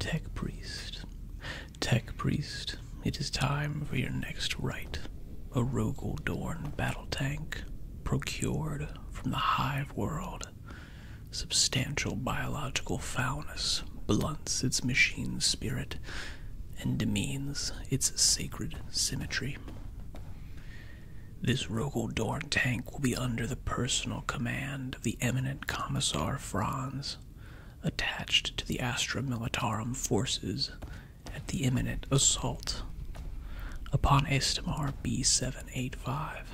Tech priest, tech priest, it is time for your next rite. A Rogel Dorn battle tank, procured from the hive world. Substantial biological foulness blunts its machine spirit and demeans its sacred symmetry. This Rogel Dorn tank will be under the personal command of the eminent Commissar Franz attached to the Astra Militarum forces at the imminent assault upon Estimar B785.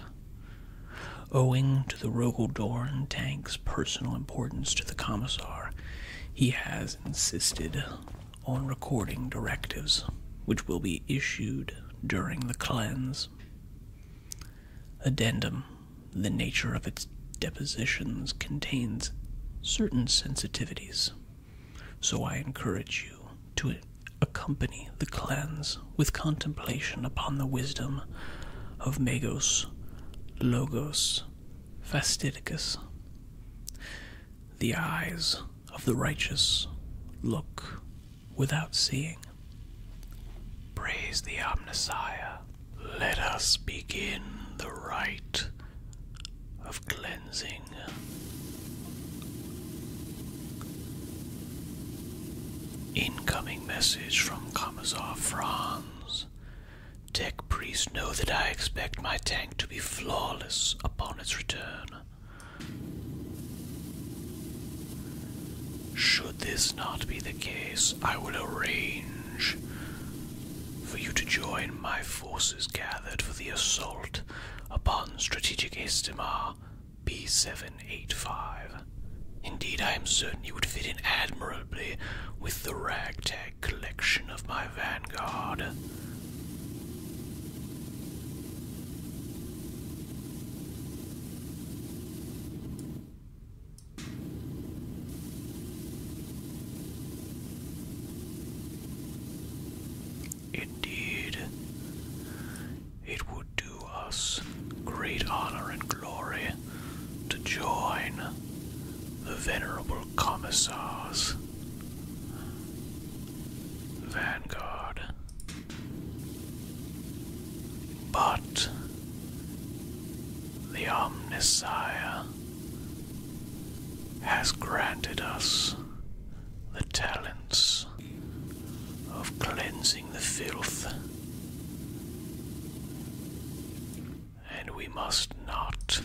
Owing to the Rogaldorn tank's personal importance to the Commissar, he has insisted on recording directives, which will be issued during the cleanse. Addendum The nature of its depositions contains certain sensitivities, so I encourage you to accompany the cleanse with contemplation upon the wisdom of Magos, Logos, Fastidicus. The eyes of the righteous look without seeing, Praise the Omnissiah. Let us begin the rite of cleansing. Incoming message from Kamazov Franz. Tech Priest. know that I expect my tank to be flawless upon its return. Should should this not be the case, I will arrange for you to join my forces gathered for the assault upon strategic Istimar B785. Indeed, I am certain you would fit in admirably with the ragtag collection of my vanguard. Indeed, it would do us great honor and glory to join the venerable commissars. Vanguard. But the Omnisire, has granted us the talents of cleansing the filth, and we must not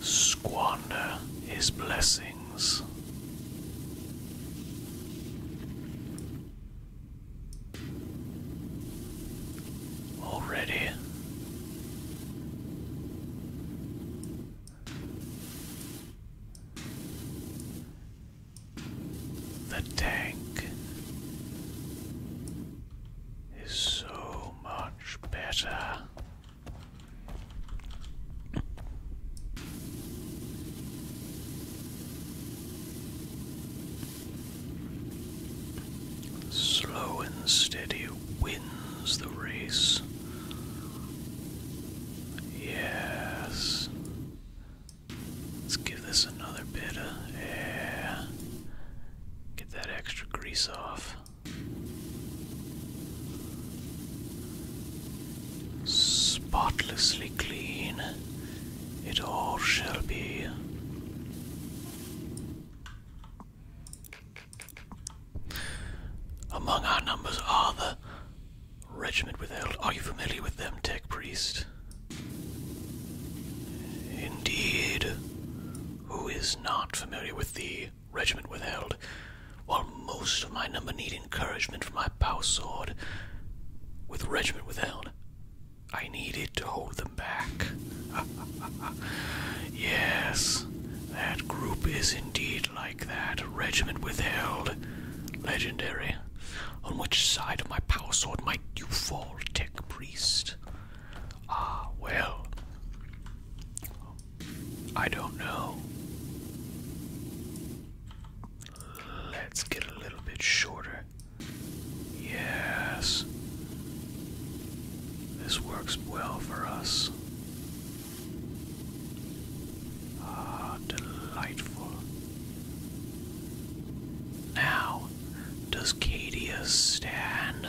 squander his blessings. Already. The tank is so much better. Slow and steady wins the race. Yes. Let's give this another bit of air. Get that extra grease off. Spotlessly clean. It all shall be. Among our numbers are the regiment withheld. Are you familiar with them, Tech Priest? Indeed. Who is not familiar with the regiment withheld? While most of my number need encouragement from my power sword, with regiment withheld, I need it to hold them back. yes, that group is indeed like that. regiment withheld. Legendary. On which side of my power sword might you fall, Tech Priest? Ah, well. I don't know. Let's get a little bit shorter. Yes. This works well for us. Ah, delightful. Now, does Cadia stand,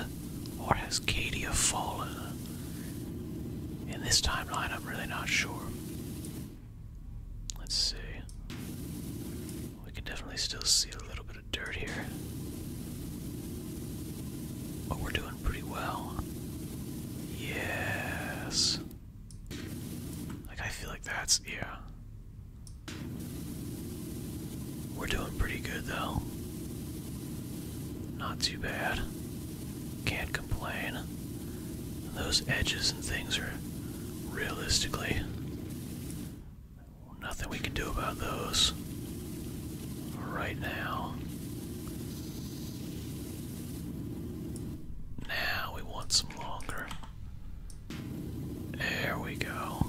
or has Cadia fallen? In this timeline, I'm really not sure. Let's see we can definitely still see a little bit of dirt here. But we're doing pretty well. Yes. Like, I feel like that's, yeah. We're doing pretty good though. Not too bad. Can't complain. Those edges and things are realistically Nothing we can do about those right now. Now we want some longer. There we go.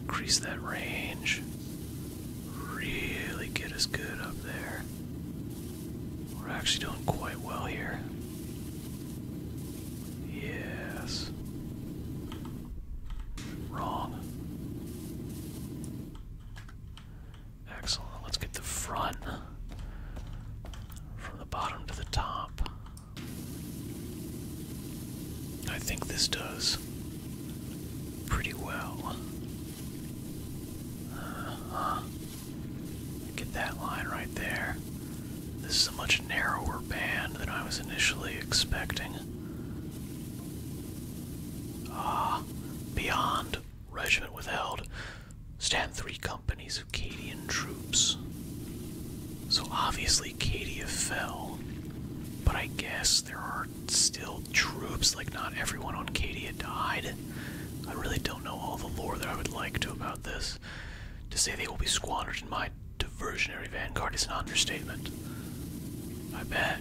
Increase that range. Really get us good up there. We're actually doing quite well here. Yes. Wrong. Excellent. Let's get the front from the bottom to the top. I think this does pretty well. -huh. Get that line right there. This is a much narrower band than I was initially expecting. Ah, beyond. Regiment withheld. Stand three companies of Cadian troops. So obviously Kadia fell. But I guess there are still troops, like not everyone on Kadia died. I really don't know all the lore that I would like to about this. To say they will be squandered in my diversionary vanguard is an understatement. I bet.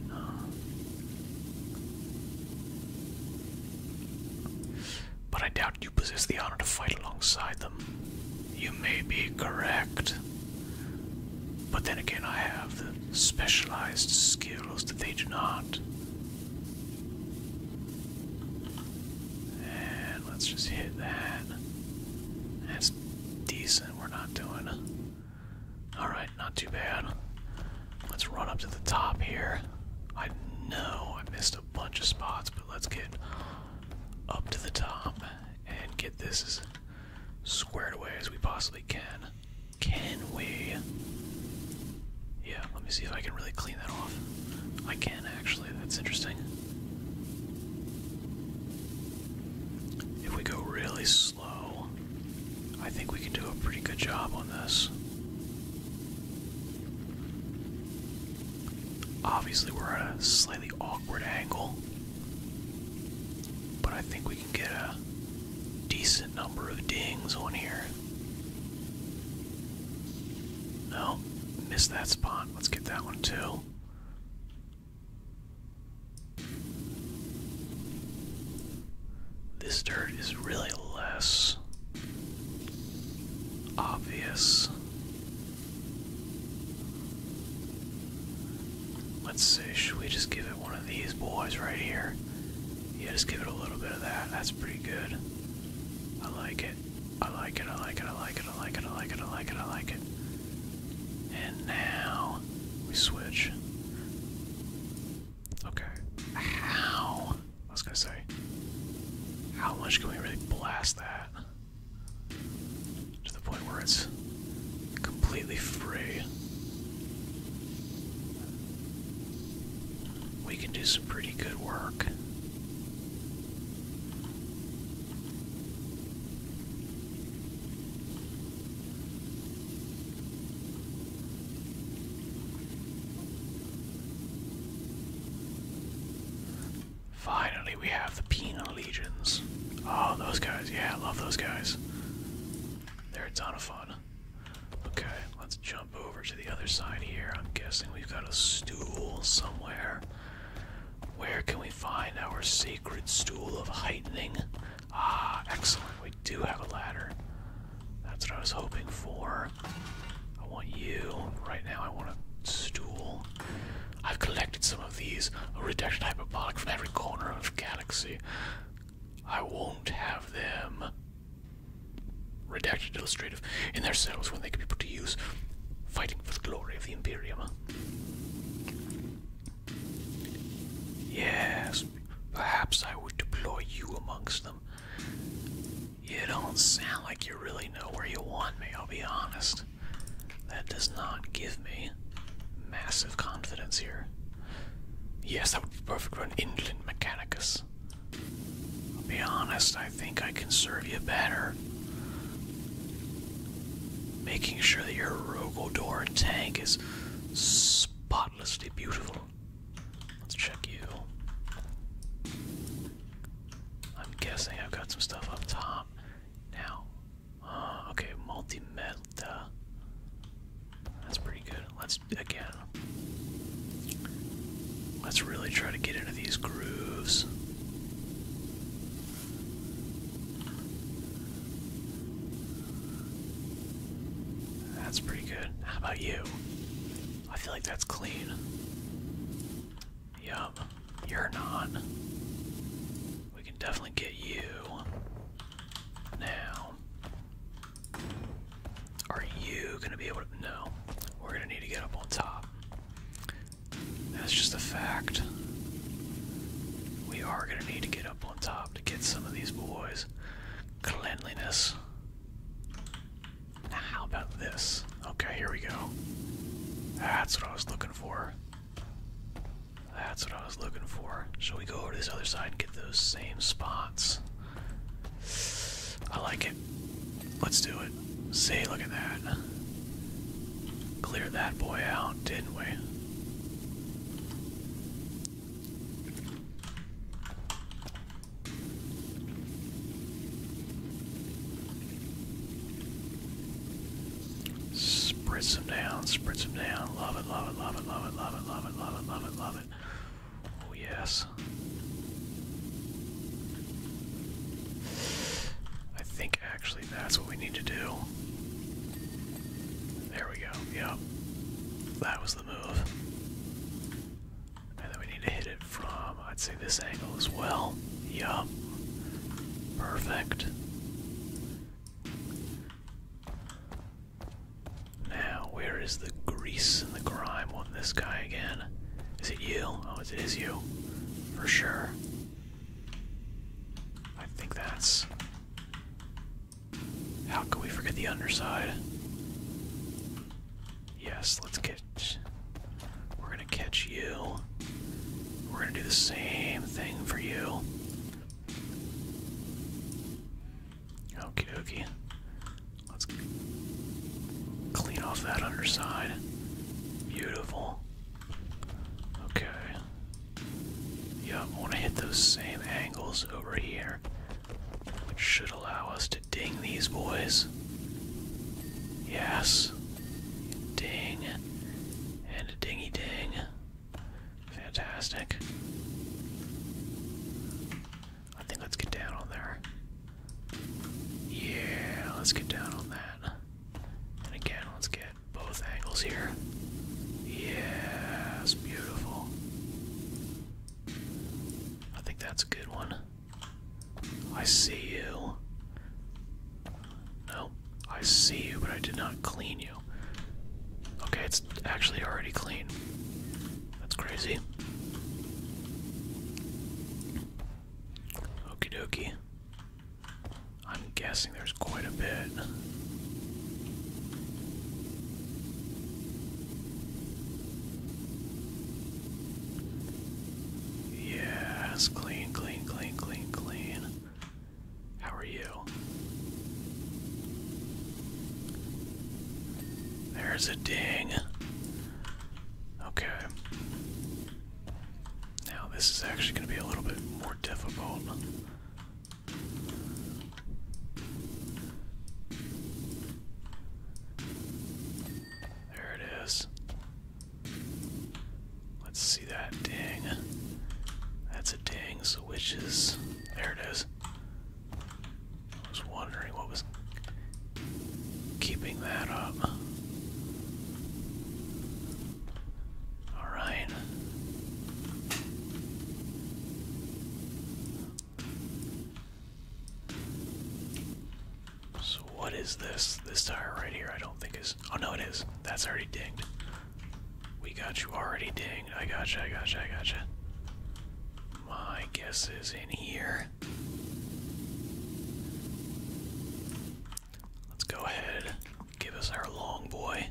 But I doubt you possess the honor to fight alongside them. You may be correct. But then again, I have the specialized skills that they do not. And let's just hit that. That's decent. We're not doing. Alright, not too bad. Let's run up to the top here. I know I missed a bunch of spots, but let's get up to the top and get this squared away as we possibly can. Can we? Yeah, let me see if I can really clean that off. I can actually. That's interesting. If we go really slow, I think we can do a pretty good job on this. Obviously, we're at a slightly awkward angle, but I think we can get a decent number of dings on here. No, missed that spot. Let's get that one too. This dirt is really less obvious. Let's see, should we just give it one of these boys right here? Yeah, just give it a little bit of that. That's pretty good. I like it. I like it, I like it, I like it, I like it, I like it, I like it, I like it. And now we switch. Okay. How? I was gonna say, how much can we really blast that? To the point where it's completely free. We can do some pretty good work. Finally, we have the Penal Legions. Oh, those guys. Yeah, I love those guys. They're a ton of fun. Okay, let's jump over to the other side here. I'm guessing we've got a stool somewhere. Where can we find our sacred stool of heightening? Ah, excellent. We do have a ladder. That's what I was hoping for. I want you. Right now, I want a stool. I've collected some of these. A reduction hyperbolic from every corner of the galaxy. I won't have them redacted illustrative in their cells when they can be put to use fighting for the glory of the Imperium. Yes, perhaps I would deploy you amongst them. You don't sound like you really know where you want me, I'll be honest. That does not give me massive confidence here. Yes, that would be perfect for an inland mechanicus. I'll be honest, I think I can serve you better making sure that your Rogodor tank is spotlessly beautiful. Let's check you. I'm guessing I've got some stuff up top now. Uh, okay, multi metal. That's pretty good. Let's again. Let's really try to get into these grooves. That's pretty good. How about you? I feel like that's clean. Yup, you're non. We can definitely get you now. Are you gonna be able to? No, we're gonna need to get up on top. That's just a fact. We are going to need to get up on top to get some of these boys. Cleanliness. how about this? Okay, here we go. That's what I was looking for. That's what I was looking for. Shall we go over to this other side and get those same spots? I like it. Let's do it. See, look at that. Cleared that boy out, didn't we? Spritz them down, spritz them down. Love it, love it, love it, love it, love it, love it, love it, love it, love it. Oh, yes. I think actually that's what we need to do. There we go. Yep. That was the move. And then we need to hit it from, I'd say, this angle as well. Yup. Perfect. Now, where is the grease and the grime on this guy again? Is it you? Oh, is it his you. For sure. I think that's. How can we forget the underside? Yes, let's catch. We're gonna catch you. We're gonna do the same thing for you. Okay, okay. Let's clean off that underside. Beautiful. Okay. Yeah, I want to hit those same angles over here, which should allow us to ding these boys. Yes. Ding. And a dingy ding. Fantastic. I think let's get down on there. Yeah, let's get down on that. And again, let's get both angles here. Yes, beautiful. I think that's a good one. I see you. No, I see you, but I did not clean you. Okay, it's actually already clean. That's crazy. Okie dokie. I'm guessing there's quite a bit. Yes, clean, clean, clean, clean, clean. How are you? There's a ding. Okay. Now this is actually going to be a little bit more difficult. There it is. Let's see that ding. That's a ding, so There it is. I was wondering what was keeping that up. All right. So what is this? This tire right here I don't think is... Oh no it is. That's already dinged. We got you already dinged. I gotcha, I gotcha, I gotcha. My guess is in here. Let's go ahead, give us our long boy.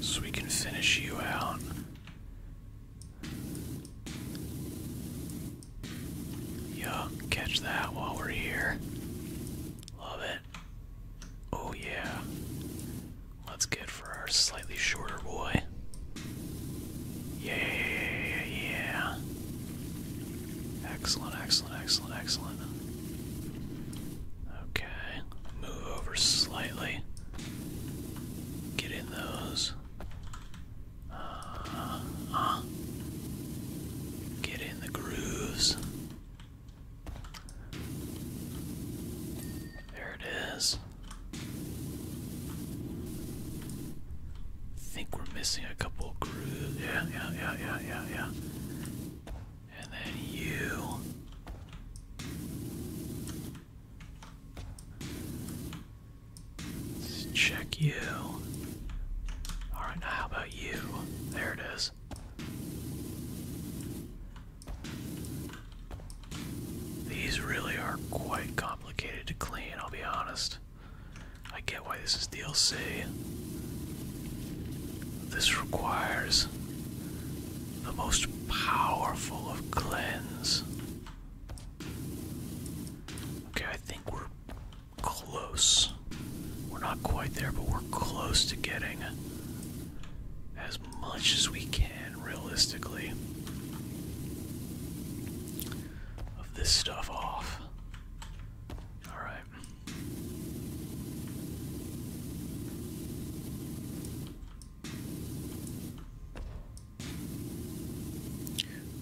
So we can finish you out. Yeah, catch that while we're here. Love it. Oh, yeah. Let's get for our slightly shorter boy. Yeah, yeah, yeah. Excellent, excellent, excellent, excellent. Okay, move over slightly. Get in those. Uh, uh. Get in the grooves. There it is. I think we're missing a couple of crews. Yeah, yeah, yeah, yeah, yeah, yeah. And then you. Let's check you. Alright, now how about you? There it is. These really are quite complicated to clean, I'll be honest. I get why this is DLC. This requires the most powerful of cleanse. Okay, I think we're close. We're not quite there, but we're close to getting as as much as we can realistically of this stuff off. Alright.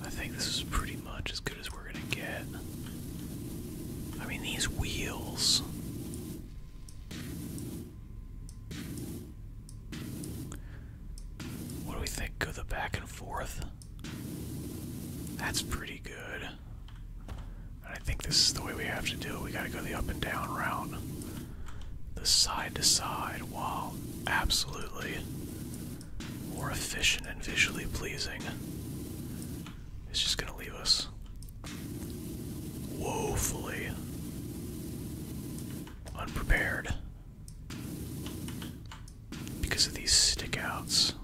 I think this is pretty much as good as we're gonna get. I mean, these wheels. What do we think? Go the back and forth? That's pretty good. And I think this is the way we have to do it. We gotta go the up and down route. The side to side. Wow. Absolutely. More efficient and visually pleasing. It's just gonna leave us woefully unprepared because of these stickouts.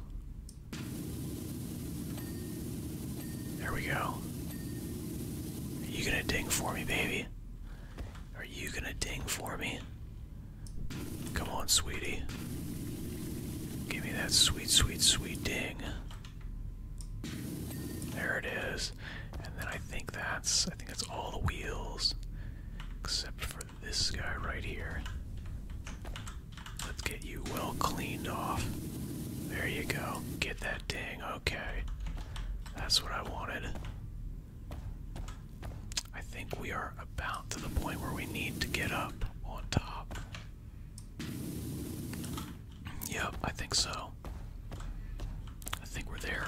There we go. Are you gonna ding for me, baby? Are you gonna ding for me? Come on, sweetie. Give me that sweet, sweet, sweet ding. There it is. And then I think that's I think that's all the wheels. Except for this guy right here. Let's get you well cleaned off. There you go. Get that ding. Okay. That's what I wanted. I think we are about to the point where we need to get up on top. Yep, I think so. I think we're there.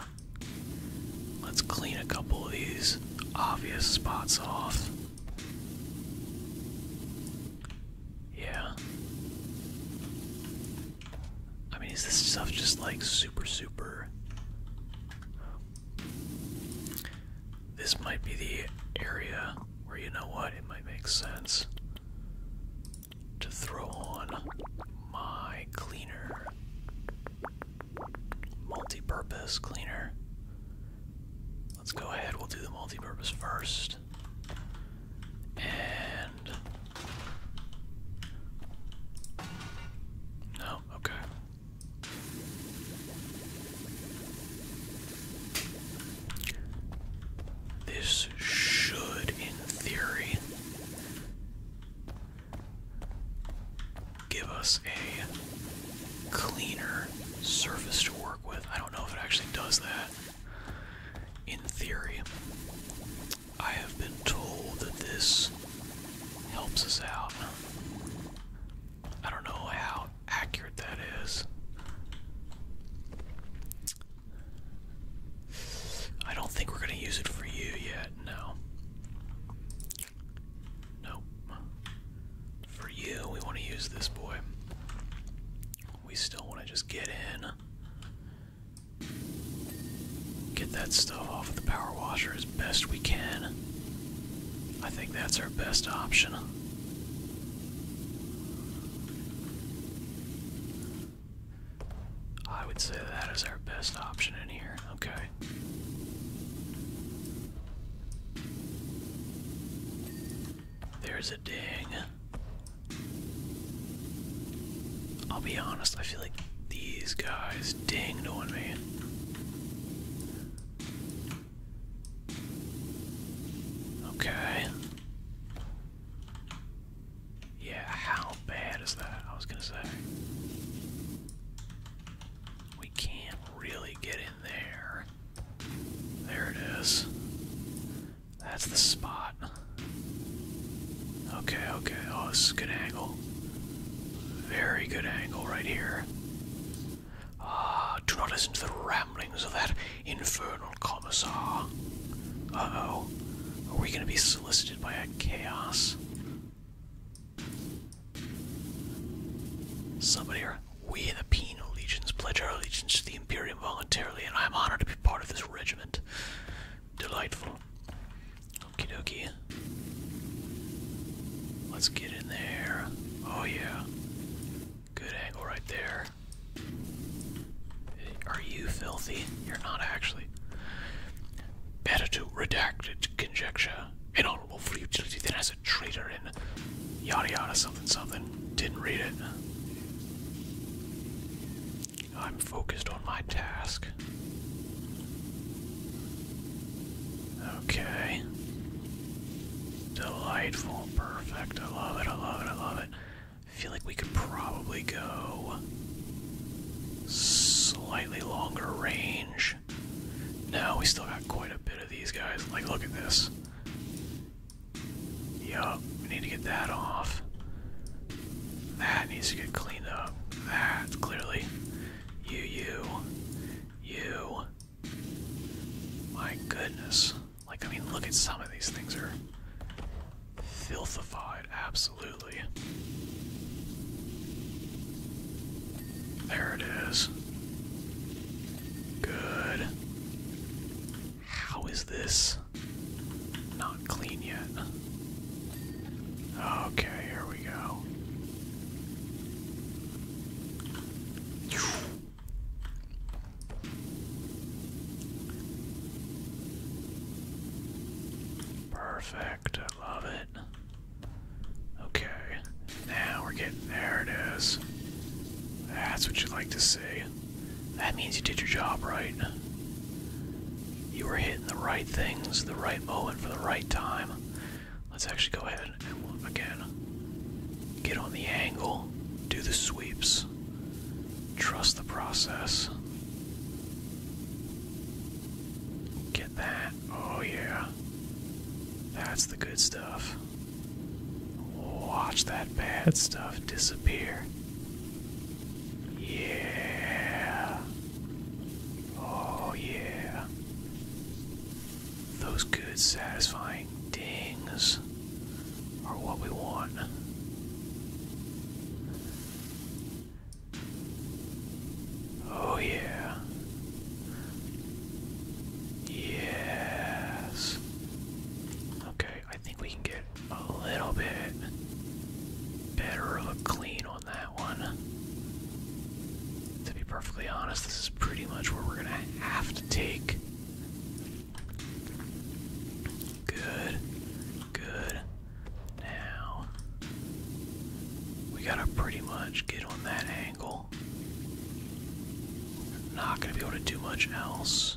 Let's clean a couple of these obvious spots off. Yeah. I mean, is this stuff just like super, super? This might be the area where you know what? It might make sense to throw on my cleaner. Multi-purpose cleaner. Let's go ahead, we'll do the multi-purpose first. And no, okay. This should, in theory, give us a cleaner surface to work with. I don't know if it actually does that. In theory, I have been told that this helps us out. I don't know how accurate that is. I don't think we're gonna use it for you yet, no. Nope. For you, we wanna use this boy. We still wanna just get in. Get that stuff off of the power washer as best we can. I think that's our best option. I would say that is our best option in here. Okay. There's a ding. I'll be honest, I feel like these guys dinged on me. Okay. Yeah, how bad is that? I was gonna say. We can't really get in there. There it is. That's the spot. Okay, okay. Oh, this is a good angle. Very good angle right here. Ah, do not listen to the ramblings of that infernal commissar. oh. Are we gonna be solicited by a chaos? Somebody here. We the penal legions pledge our allegiance to the Imperium voluntarily, and I am honored to be part of this regiment. Delightful. Okie dokie. Let's get in there. Oh yeah. Good angle right there. Are you filthy? You're not actually better to redacted conjecture, an honorable for utility than as a traitor in yada yada something something. Didn't read it. I'm focused on my task. Okay. Delightful. Perfect. I love it. I love it. I love it. I feel like we could probably go Slightly longer range. No, we still got quite a bit of these guys. Like, look at this. Yup, we need to get that off. That needs to get cleaned up. That, clearly. You, you, you. My goodness. Like, I mean, look at some of these things are filthified, absolutely. There it is. Good. How is this not clean yet? Okay, here we go. Perfecto love it. Okay, now we're getting there it is. That's what you like to see. That means you did your job right. You were hitting the right things, the right moment for the right time. Let's actually go ahead and again get on the angle, do the sweeps, trust the process that. Oh, yeah. That's the good stuff. Watch that bad stuff disappear. Yeah. Oh, yeah. Those good, satisfying dings are what we want. Oh, yeah. Yes. Okay, I think we can get a little bit better of a clean on that one. To be perfectly honest, this is pretty much where we're going to have to take. Good. Good. Now, we gotta pretty much get on that angle. not gonna be able to do much else.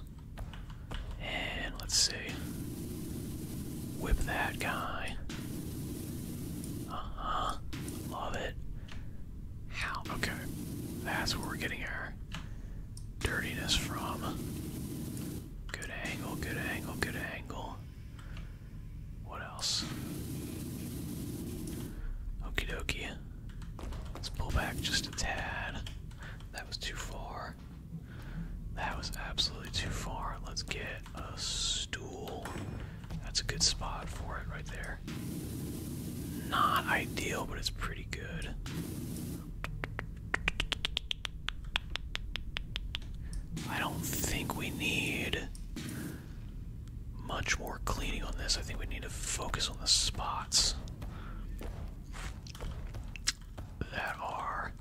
And let's see. Whip that guy. Uh huh. Love it. How? Okay. That's where we're getting our dirtiness from. Good angle, good angle, good angle. What else? Okie dokie. Let's pull back just a tad. That was too far. That was absolutely too far. Let's get a stool. That's a good spot for it right there. Not ideal, but it's pretty good. I don't think we need much more cleaning on this. I think we need to focus on the spots that are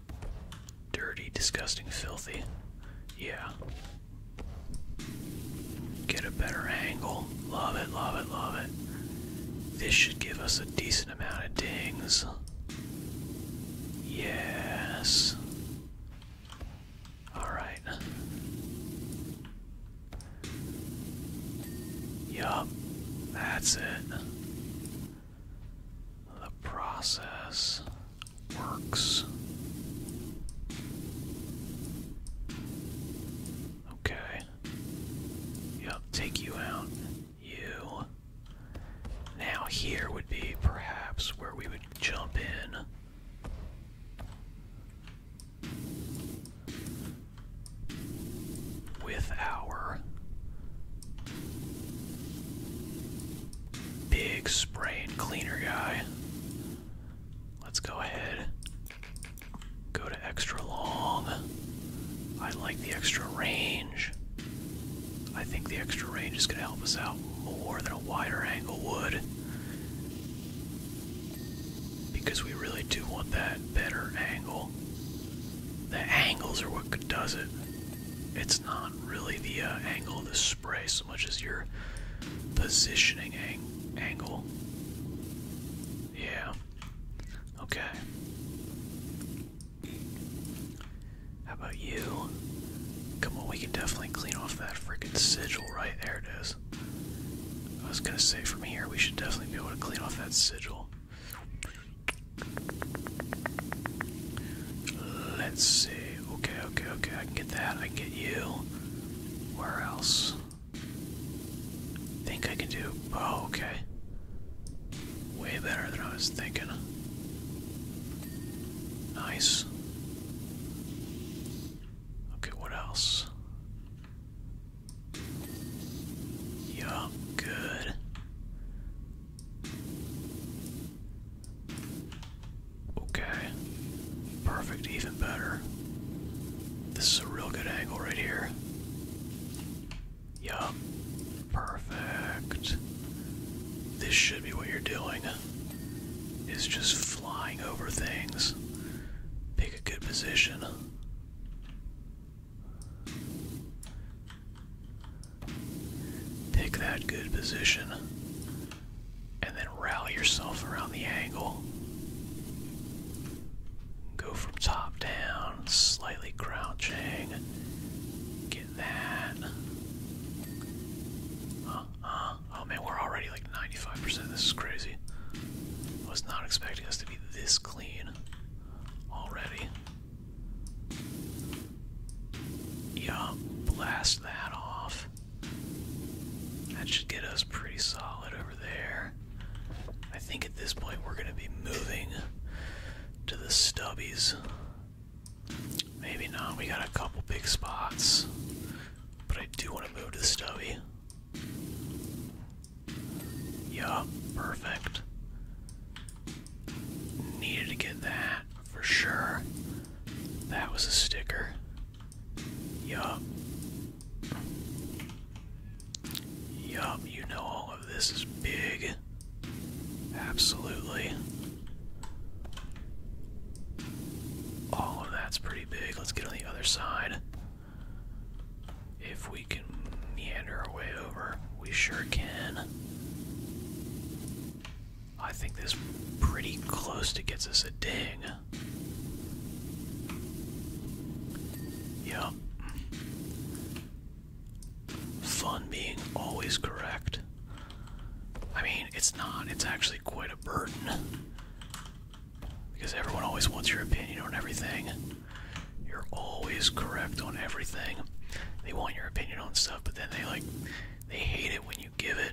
dirty, disgusting, filthy. Yeah. Get a better angle. Love it, love it, love it. This should give us a decent amount of dings. Yes. All right. Yup, that's it. The process works. Okay. Yup, take you out. You. Now, here would be perhaps where we would jump in. With our big spray and cleaner guy. Let's go ahead. Go to extra long. I like the extra range. I think the extra range is going to help us out more than a wider angle would. Because we really do want that better angle. The angles are what does it. It's not really the uh, angle of the spray so much as your positioning angle. Yeah. Okay. How about you? Come on, we can definitely clean off that freaking sigil right there. It is. I was gonna say from here we should definitely be able to clean off that sigil. Let's see. Okay, okay, okay. I can get that. I can get you. Where else? Think I can do. Oh, okay. Way better than I was thinking. Nice. Okay, what else? Yeah, good. Okay. Perfect, even better. This is a real good angle right here. Yup. Perfect. This should be what you're doing is just flying over things. Pick a good position. Pick that good position. And then rally yourself around the angle. Go from top down, slightly crouching. Get that. huh. Oh man, we're already like 95%. This is crazy. I was not expecting us to be this clean already. Yeah, blast that off. That should get us pretty solid over there. I think at this point we're going to be moving to the stubbies. Maybe not. We got a couple big spots. But I do want to move to the stubby. Yeah, perfect. Needed to get that for sure. That was a sticker. Yup. Yup, you know all of this is big. Absolutely. All oh, of that's pretty big. Let's get on the other side. If we can meander our way over, we sure can. I think this pretty close to gets us a ding. Yep. Fun being always correct. I mean, it's not. It's actually quite a burden. Because everyone always wants your opinion on everything. You're always correct on everything. They want your opinion on stuff, but then they like they hate it when you give it.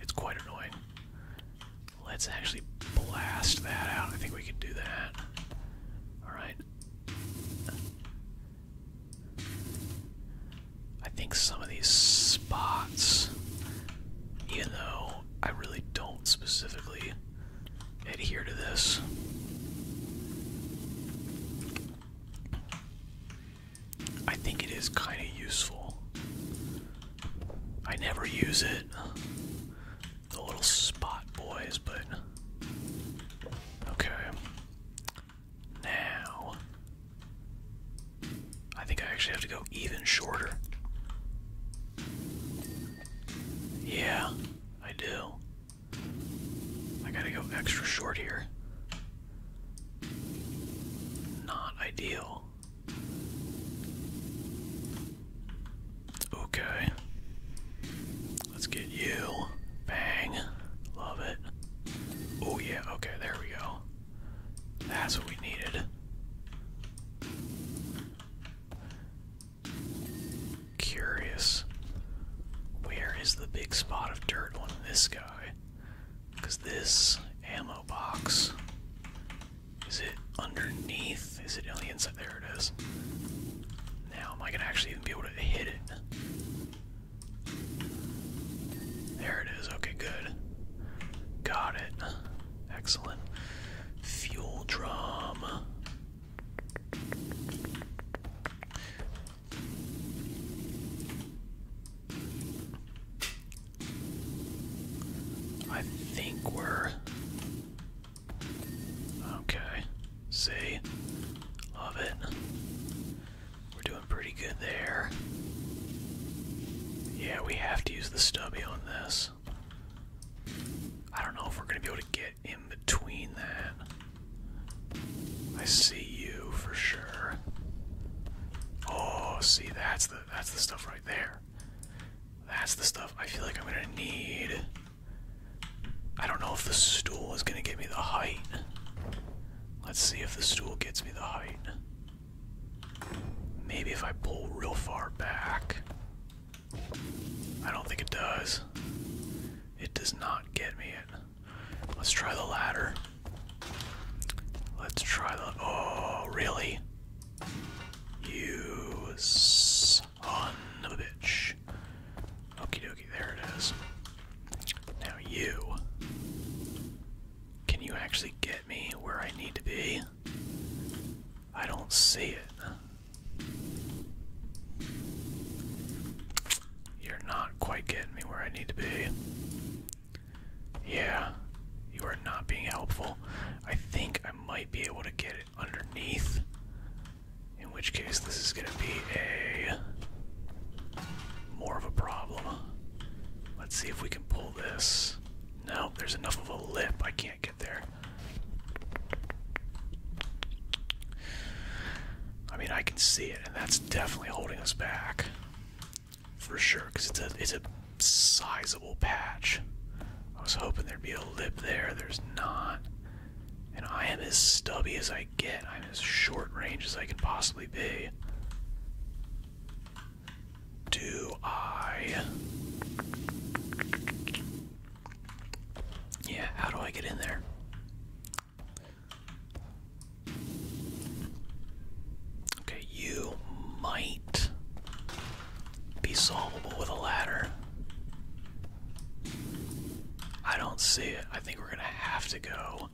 It's quite annoying. Let's actually blast that out. I think we can do that. Alright. I think some of these spots, even though I really don't specifically adhere to this, I think it is kind of useful. I never use it, the little spot boys, but okay. Now, I think I actually have to go even shorter. Yeah, I do. I gotta go extra short here. Not ideal. Okay. Let's get you. Bang. Love it. Oh, yeah. Okay, there we go. That's what we needed. Curious. Where is the big spot of dirt on this guy? Because this ammo box. Is it underneath? Is it on the inside? There it is. Now, am I going to actually even be able to hit it? There it is. Okay, good. Got it. Excellent. Fuel drum. I think we're okay. See, love it. We're doing pretty good there. Yeah, we have to use the stubby on this. I don't know if we're going to be able to get in between that. I see you for sure. Oh, see, that's the that's the stuff right there. That's the stuff I feel like I'm going to need. I don't know if the stool is going to give me the height. Let's see if the stool gets me the height. Maybe if I pull real far back. I don't think it does. It does not get me it. Let's try the ladder. Let's try the. Oh, really? You on the bitch. Okie dokie, there it is. Now you. Can you actually get me where I need to be? I don't see it. You're not quite getting me where I need to be. Yeah, you are not being helpful. I think I might be able to get it underneath. In which case, this is going to be a more of a problem. Let's see if we can pull this. No, there's enough of a lip. I can't get there. I mean, I can see it, and that's definitely holding us back for sure. Cause it's a it's a sizable patch. I was hoping there'd be a lip there. There's not. And I am as stubby as I get. I'm as short range as I can possibly be do I? Yeah, how do I get in there? Okay, you might be solvable with a ladder. I don't see it. I think we're gonna have to go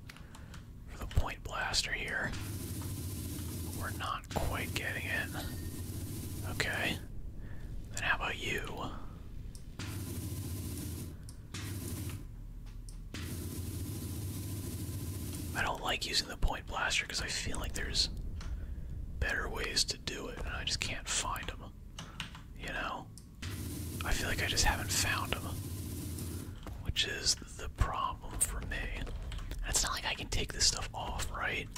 for the point blaster here. We're not quite getting it. Okay. Then how about you? I don't like using the point blaster because I feel like there's better ways to do it, and I just can't find them. You know? I feel like I just haven't found them. Which is the problem for me. It's not like I can take this stuff off, right?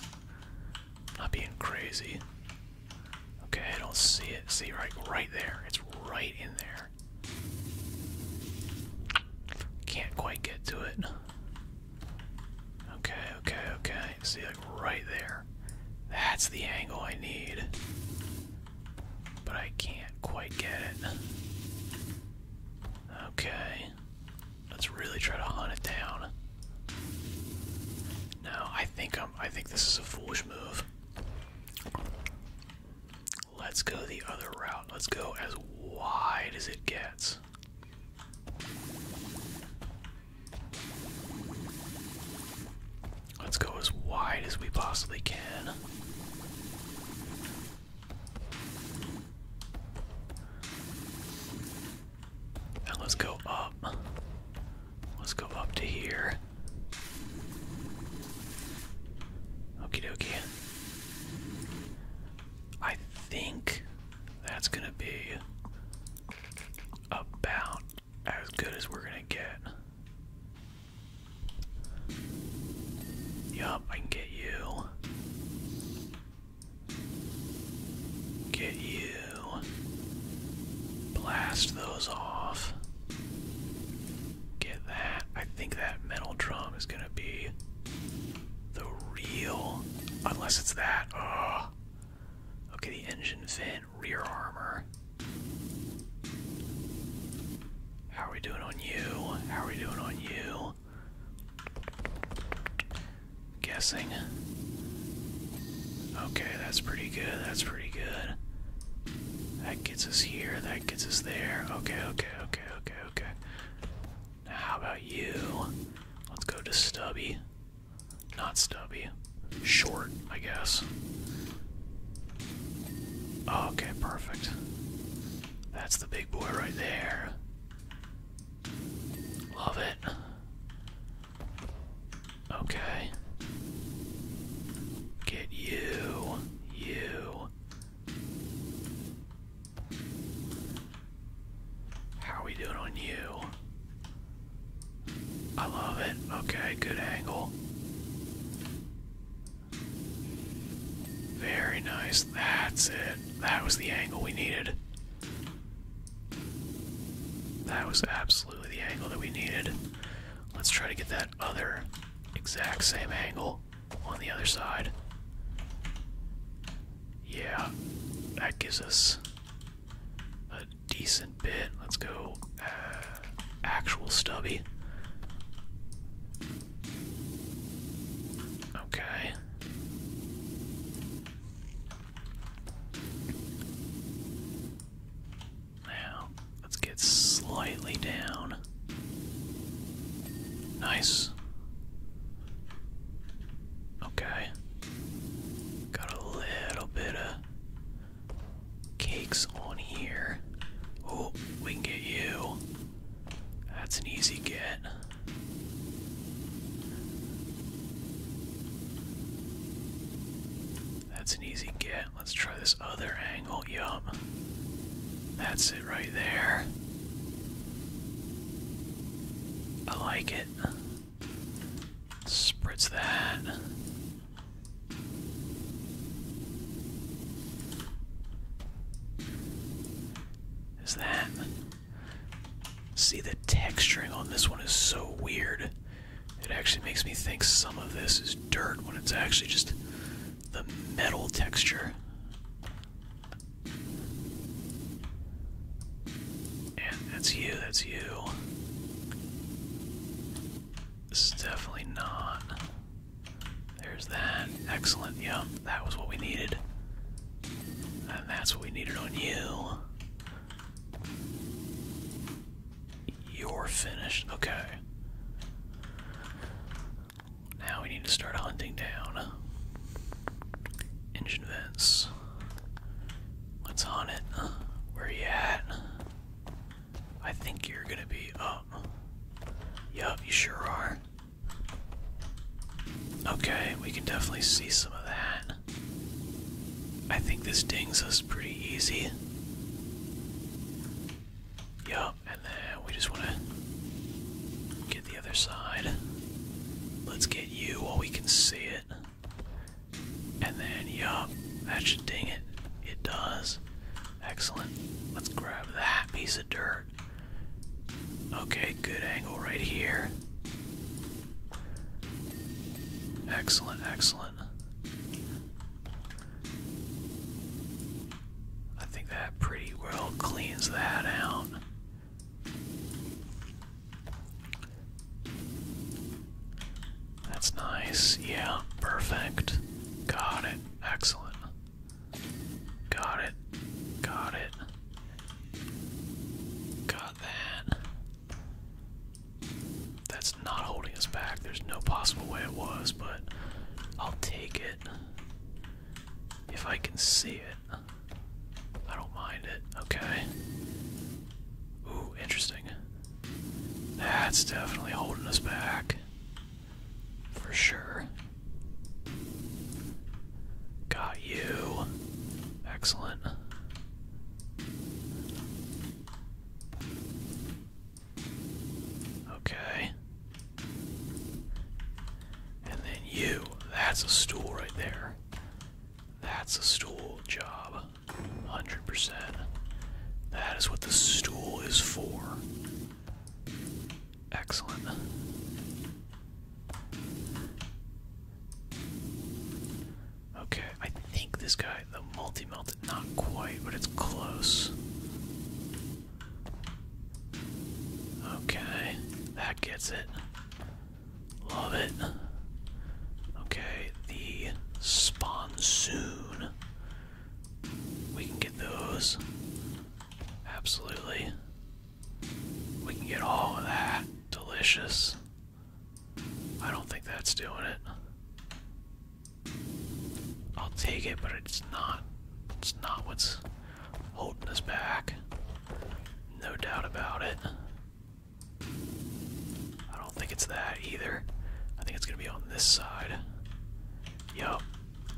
not being crazy. Okay, I don't see it. See right right there. It's right in there. Can't quite get to it. Okay, okay, okay. See like right there. That's the angle I need. But I can't quite get it. Okay. Let's really try to hunt it down. No, I think I'm I think this is a foolish move. Let's go the other route. Let's go as wide as it gets. Let's go as wide as we possibly can let's go up. Let's go up to here. Okie dokie. I think that's gonna be about as good as we're gonna get. Yup, I can get Get you. Get you. Blast those off. Get that. I think that metal drum is gonna be the real. Unless it's that. Okay, the engine vent, rear armor. How are we doing on you? How are we doing on you? guessing. Okay, that's pretty good. That's pretty good. That gets us here. That gets us there. Okay, okay, okay, okay, okay. Now, how about you? Let's go to Stubby. Not Stubby. Short, I guess. Okay, perfect. That's the big boy right there. Love it. Okay. Get you, you. How are we doing on you? I love it. Okay, good angle. Very nice. That's it. That was the angle we needed. That was absolutely the angle that we needed. Let's try to get that other exact same angle on the other side. Yeah, that gives us a decent bit. Let's go uh, actual stubby. Okay. Now, let's get slightly down. Nice. Okay. Got a little bit of cakes on here. Oh, we can get you. That's an easy get. That's an easy get. Let's try this other angle. Yup. That's it right there. I like it. Spritz that is that. See, the texturing on this one is so weird. It actually makes me think some of this is dirt when it's actually just the metal texture. And that's you, that's you. This is definitely not. There's that. Excellent. Yep, that was what we needed. And that's what we needed on you. You're finished. Okay. Now we need to start hunting down engine vents. What's on it? Where you at? I think you're gonna be up. Yup, you sure are. Okay, we can definitely see some of that. I think this dings us pretty easy. Yup, and then we just want to get the other side. Let's get you while we can see it. And then, yup, that should ding it. It does. Excellent. Let's grab that piece of dirt. Okay, good angle right here. Excellent, excellent. I think that pretty well cleans that out. That's nice. Yeah, perfect. Got it. Excellent. Got it. Got it. Got that. That's not holding us back. There's no possible way it was, but I'll take it. If I can see it. I don't mind it. Okay. Ooh, interesting. That's definitely holding us back. For sure. Got you. Excellent. Okay. And then you. That's a stool right there. That's a stool job. 100%. That is what the stool is for. Excellent. Okay, I think this guy, the multi melted, not quite, but it's close. Okay, that gets it. Love it. Okay, the spawn We can get those. Absolutely. We can get all of that. Delicious. I don't think that's doing it. I'll take it, but it's not. It's not what's holding us back. No doubt about it. I don't think it's that either. I think it's gonna be on this side. Yup.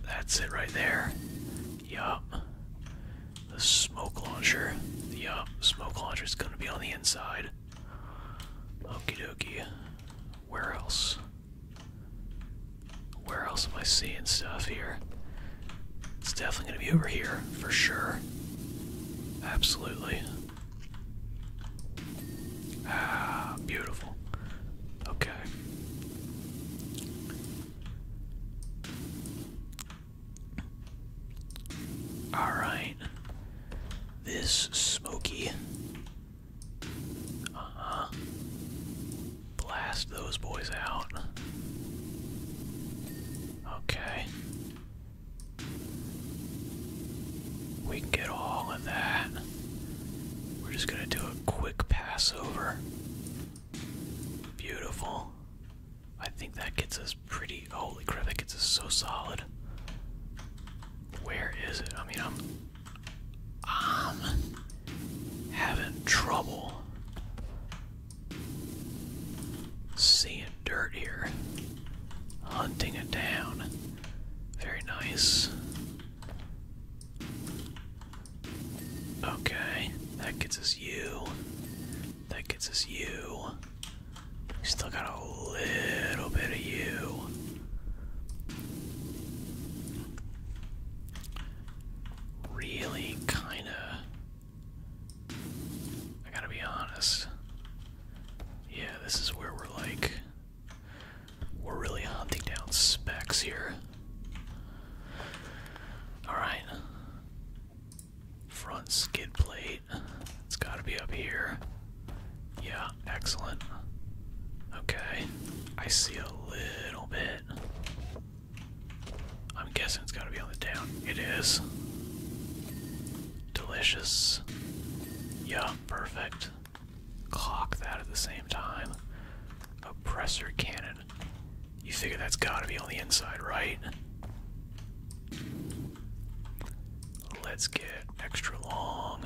That's it right there. Yup the smoke launcher. The smoke launcher is going to be on the inside. Okie dokie. Where else? Where else am I seeing stuff here? It's definitely going to be over here, for sure. Absolutely. Ah, beautiful. Okay. Alright. This smoky. Uh huh. Blast those boys out. Okay. We can get all of that. We're just gonna do a quick pass over. Beautiful. I think that gets us pretty. Holy crap, that gets us so solid. Where is it? I mean, I'm. I'm having trouble seeing dirt here. Hunting it down. Very nice. Okay, that gets us you. That gets us you. Still got a little bit of you. Really, kinda. I gotta be honest. Yeah, this is where we're like. We're really hunting down specs here. Alright. Front skid plate. It's got to be up here. Yeah, excellent. Okay, I see a little bit. I'm guessing it's got to be on the down. It is. Delicious. Yeah, perfect. Clock that at the same time. Oppressor cannon you figure that's gotta be on the inside, right? Let's get extra long.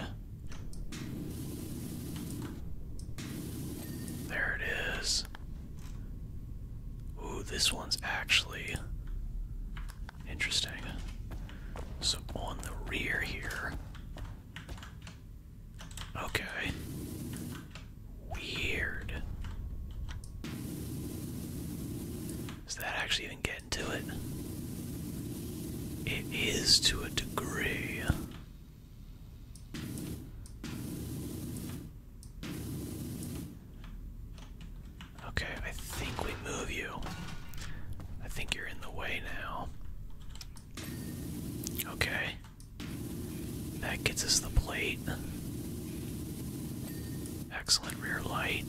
There it is. Ooh, this one's actually interesting. So on the rear here. Okay. Weird. Does that actually even get into it? It is to a degree. Okay, I think we move you. I think you're in the way now. Okay. That gets us the plate. Excellent rear light.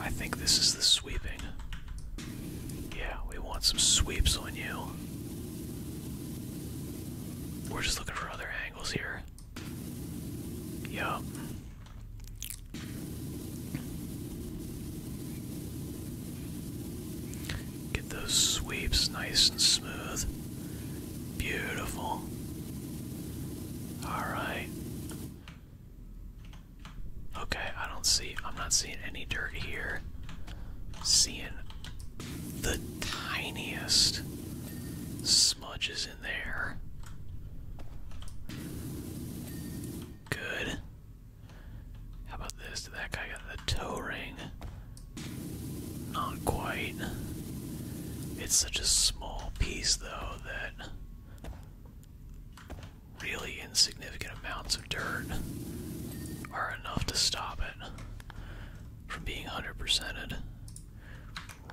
I think this is the sweeping. Yeah, we want some sweeps on you. We're just looking for other angles here. Yup. Get those sweeps nice and smooth. Beautiful. Alright. Okay, I don't see, I'm not seeing any dirt here. Seeing the tiniest smudges in there. Good. How about this? Did that guy got the toe ring? Not quite. It's such a small piece, though, that really insignificant amounts of dirt are enough to stop it from being 100%ed.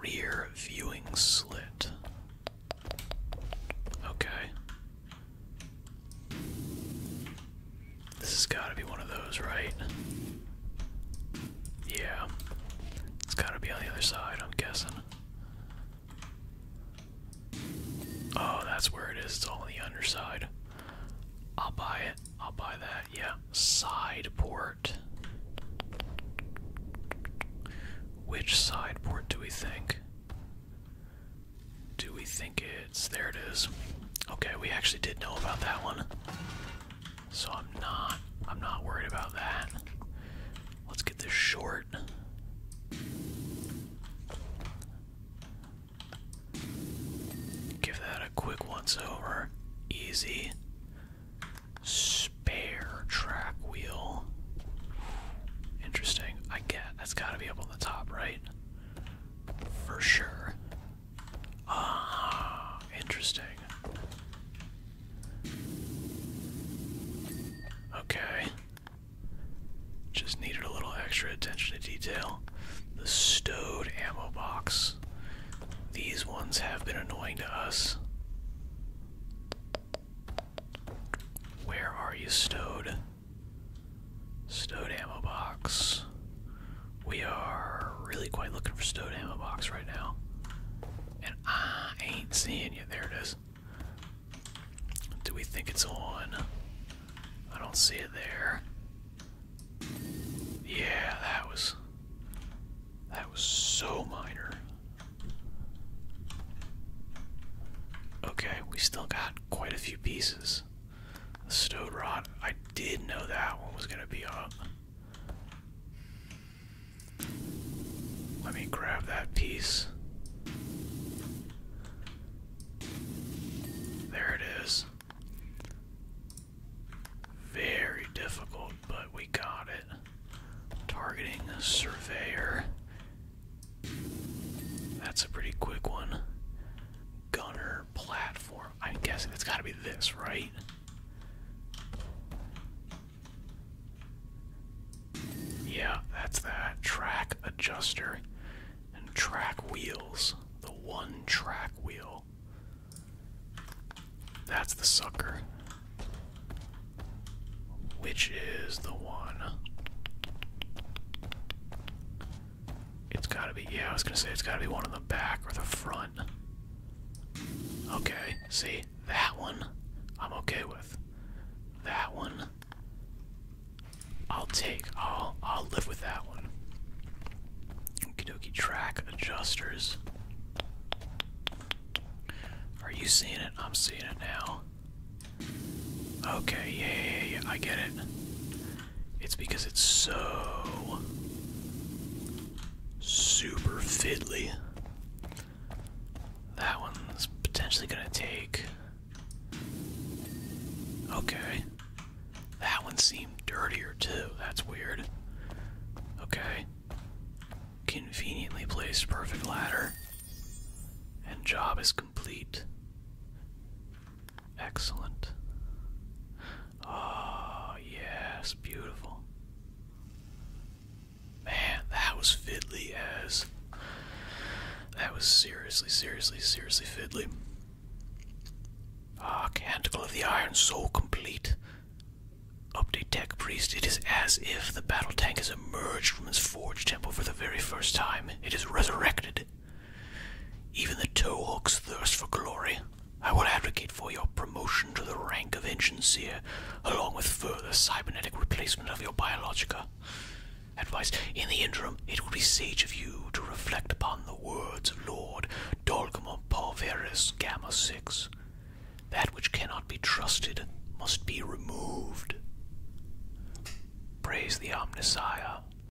Rear viewing slit. Okay. This has got to be one of those, right? Yeah. It's got to be on the other side, I'm guessing. Oh, that's where it is. It's all on the underside. I'll buy it. I'll buy that. Yeah. Side port. Which side port do we think? Do we think it's there it is. Okay, we actually did know about that one. So I'm not I'm not worried about that. Let's get this short. Give that a quick once over. Easy. Spare track wheel. Interesting. I get that's gotta be up on the top, right? for sure. Ah, interesting. Okay. Just needed a little extra attention to detail. The stowed ammo box. These ones have been annoying to us. Where are you stowed? Stowed ammo box. We are really quite looking for stowed ammo box right now. And I ain't seeing you. There it is. Do we think it's on? I don't see it there. Yeah, that was that was so minor. Okay, we still got quite a few pieces. The stowed rod. I did know that one was gonna be up. Let me grab that piece. There it is. Very difficult, but we got it. Targeting a surveyor. That's a pretty quick one gunner platform. I'm guessing it's got to be this, right? Yeah, that's that. Track adjuster and track wheels. The one track wheel. That's the sucker. Which is the one? It's gotta be, yeah, I was gonna say it's gotta be one on the back or the front. Okay, see, that one I'm okay with. That one I'll take. I'll I'll live with that one. Okie track adjusters. Are you seeing it? I'm seeing it now. Okay, yeah, yeah, yeah, I get it. It's because it's so super fiddly. That one's potentially gonna take. Okay. That one seemed dirtier too. That's weird. Okay. Conveniently placed perfect ladder. And job is complete. Excellent. Oh, yes, beautiful. Man, that was fiddly as. That was seriously, seriously, seriously fiddly. Ah, Canticle of the Iron, soul complete. Update Tech Priest. It is as if the battle tank has emerged from its forge temple for the very first time. It is resurrected. Even the tow thirst for glory. I will advocate for your promotion to the rank of Ensign Seer, along with further cybernetic replacement of your biologica. Advice In the interim, it will be sage of you to reflect upon the words of Lord Dolgamon Parveris Gamma 6. That which cannot be trusted must be removed. Praise the Omnissiah,